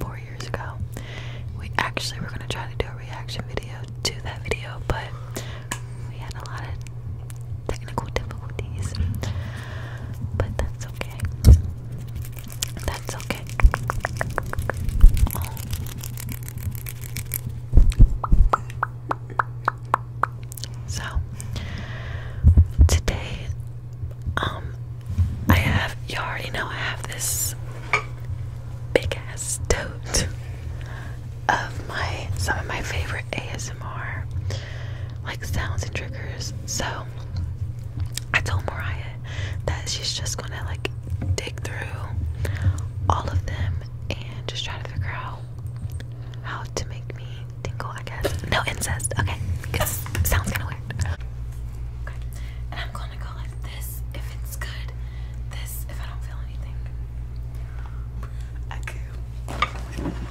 four years ago. We actually were gonna try to do a reaction video to that video, but we had a lot of technical difficulties. But that's okay. That's okay. So today um, I have, you already know, I have this big ass tote of my, some of my favorite ASMR, like sounds and triggers. So I told Mariah that she's just gonna like dig through all of them and just try to figure out how to make me tingle, I guess. No incest, okay, because sounds kind of weird. and I'm going gonna go like this if it's good, this if I don't feel anything. Okay.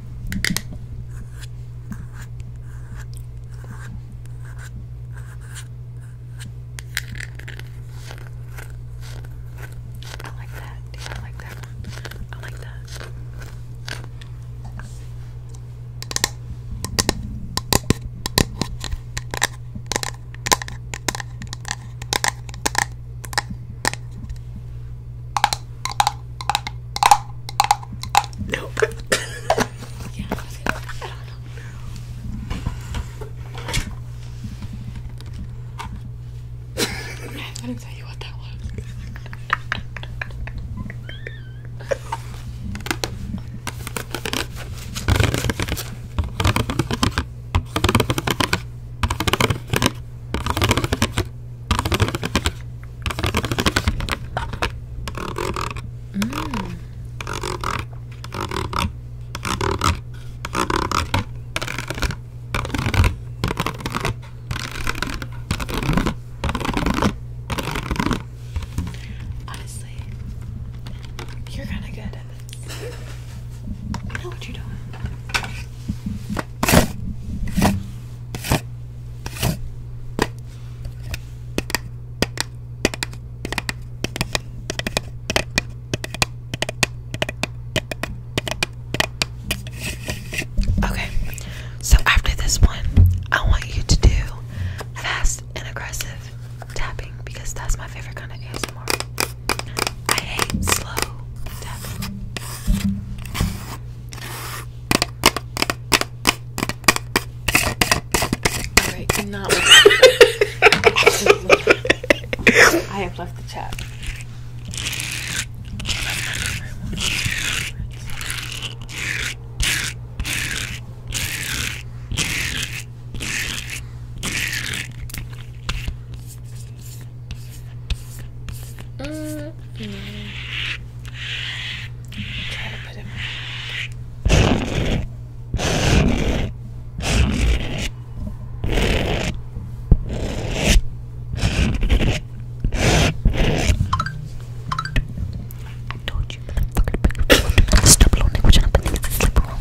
I like that. Yeah, I like that one. I like that. Nope. yeah, I was gonna, I don't know. I couldn't tell you what that was. Mm. Honestly, you're kind of good at this. know what you're doing. Okay, so after this one, I want you to do fast and aggressive tapping because that's my favorite kind of ASMR. I hate slow tapping. Alright, cannot. I have left the chat. Mm -hmm. Try to put him. I told you, stop lonely, which I'm sleep around.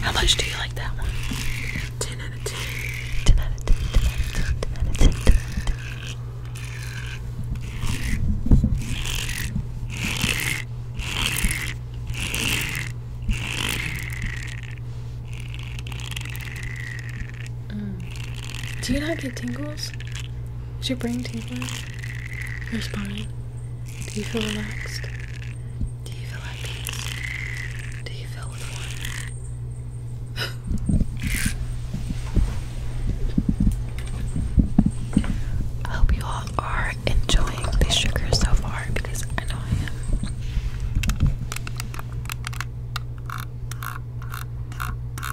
How much do you like that one? 10 out of 10. 10 out of 10, 10 out of 10, 10 out of 10, 10 out of 10. Mm. Do you not get tingles? Is your brain tingle? Your spine? Do you feel relaxed? Do you feel at peace? Do you feel with I hope you all are enjoying the sugar so far because I know I am.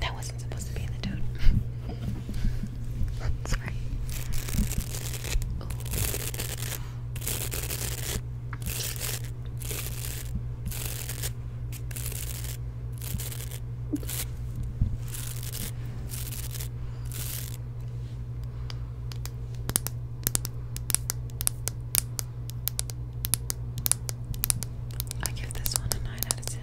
That wasn't supposed to be in the tone. Sorry. Oh. I give this one a 9 out of 10.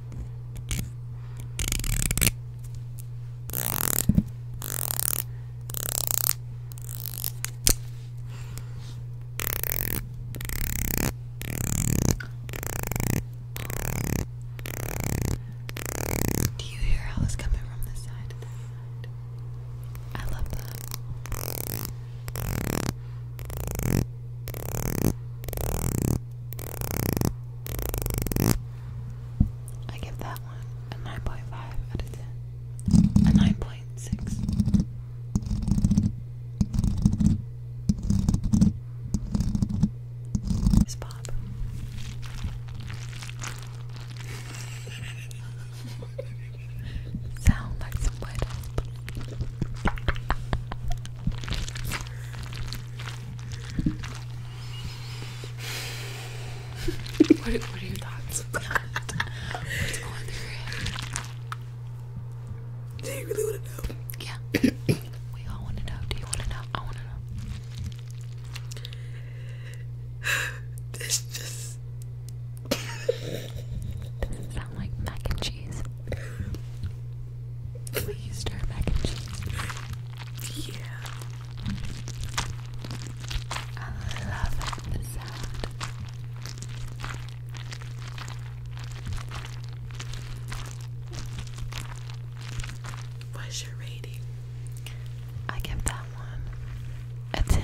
Do you hear how it's coming from this side and that side? I love that. I give that one a 9.5 out of 10. A 9.6. It's Bob. Sound like some wet what, are, your thoughts Do you really want to know? Yeah. we all want to know. Do you want to know? I want to know. This just. Does it sound like mac and cheese? Please try mac and cheese. Yeah. I love it, the What's your rating? I give that one a 10.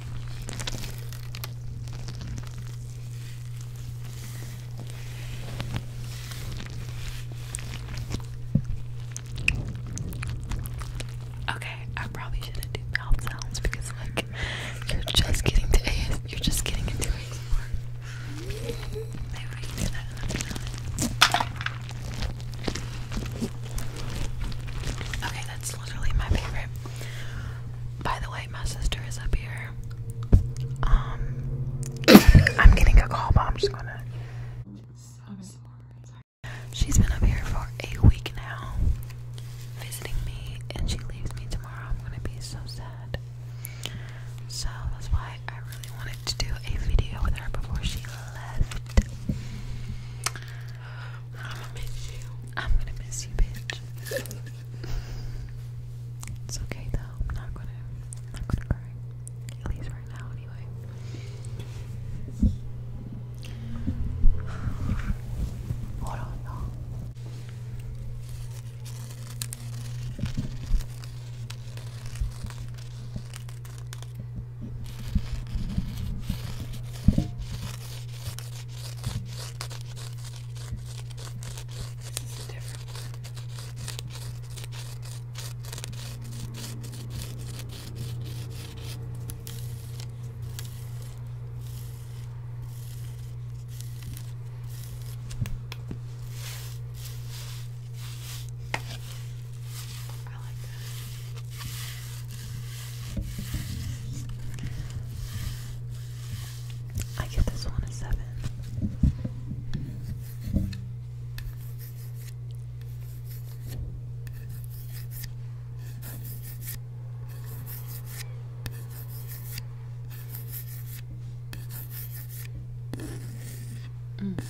Okay, I probably shouldn't do mouth sounds because like you're just getting to you're just getting into ASMR. Maybe Okay, that's literally my favorite. By the way, my sister is up here. Um, I'm getting a call, but I'm just gonna. She's been up here for a week now, visiting me, and she leaves me tomorrow. I'm gonna be so sad. So that's why I really wanted to do a video with her before she left. I'm gonna miss you. I'm gonna miss you, bitch. it's okay though. I'm not gonna. not gonna cry. At least right now, anyway. Hold on, this is a different one. I like I give this one a seven. Mm.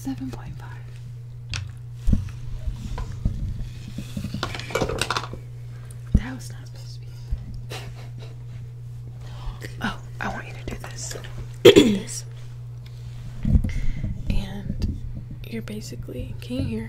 Seven point five. That was not supposed to be. Oh, I want you to do this. And you're basically, can you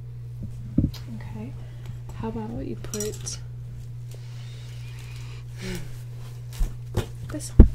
Okay. How about you put this one?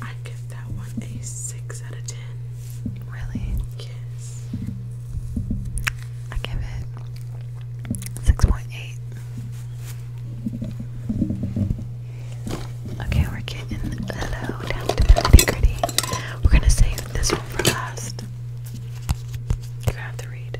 I give that one a six out of ten. Really? Yes. I give it six point eight. Okay, we're getting low down to the nitty gritty. We're gonna save this one for last. you have to read.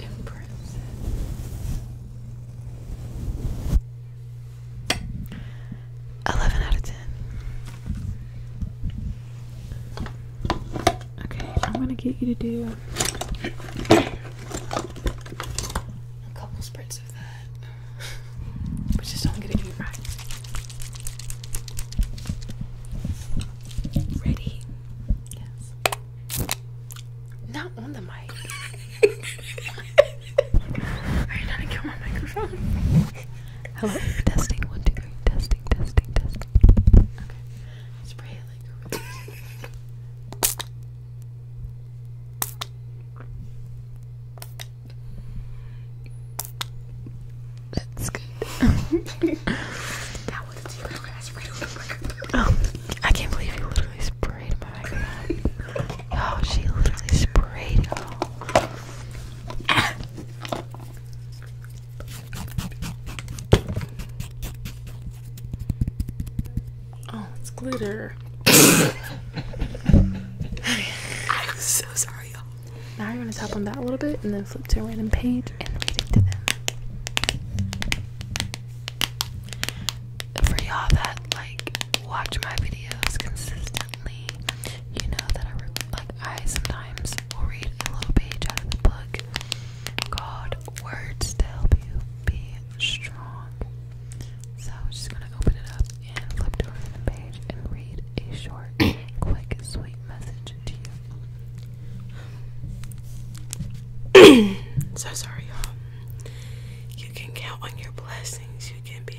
Impressive. Eleven out of ten. Okay, I'm gonna get you to do a couple sprints of that. but just don't get it any right. Ready? Yes. Not on the mic. Are you trying to kill my microphone? Hello? Testing. One, two, three. Testing, testing, testing. Okay. Spray it That's good. that was you. I Oh, I can't believe you literally sprayed my microphone. Oh, she literally sprayed it Oh, it's glitter. I'm so sorry, y'all. Now you're gonna tap on that a little bit and then flip to a random page and read it to them. For y'all that like watch my videos consistently you know that I like I sometimes will read a little page out of the book called Words to Help You Be Strong. So I'm just gonna open it up and flip to over the page and read a short, quick, sweet message to you. so sorry, y'all. You can count on your blessings. You can be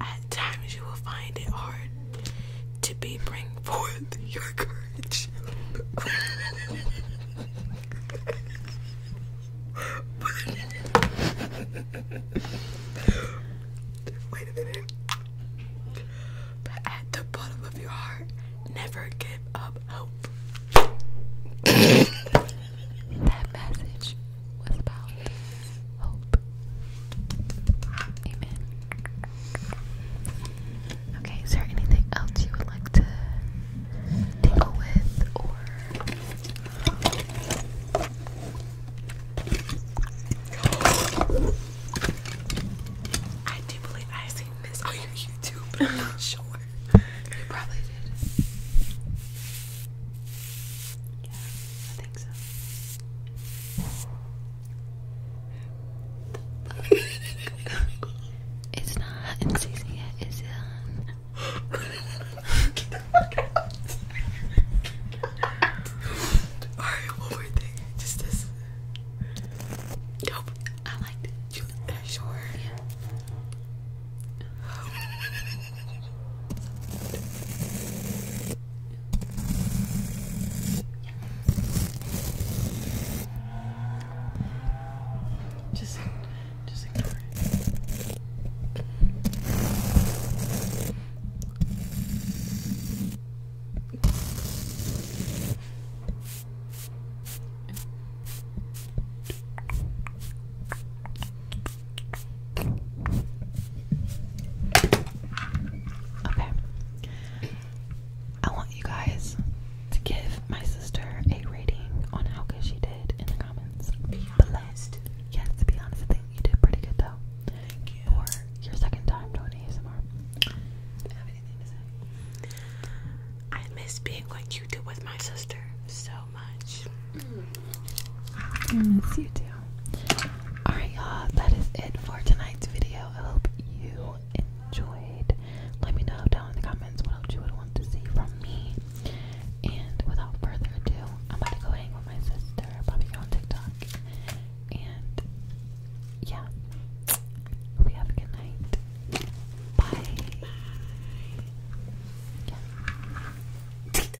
At times, you will find it hard to be bring forth your courage. Wait a minute. But at the bottom of your heart, never give up hope. that message was about Okay, is there anything else you would like to deal with I do believe i seen this on your YouTube, I'm not sure. You probably did. Yeah, think it's not is it? Alright, one more thing. Just this. Nope. I liked it. You, sure. Just, just ignore it. Okay. I want you guys to give my sister a rating on how good she did in the comments. Be honest. Yes, to be honest, I think you did pretty good though. Thank you. For your second time doing have anything to say. I miss being on YouTube with my sister so much. Mm. I miss you too. Alright, y'all, that is it for tonight's video. I hope you enjoyed. Let me know down in the comments what else you would want to see from me. And without further ado, I'm about to go hang with my sister, probably go on TikTok. And yeah, hope you have a good night. Bye.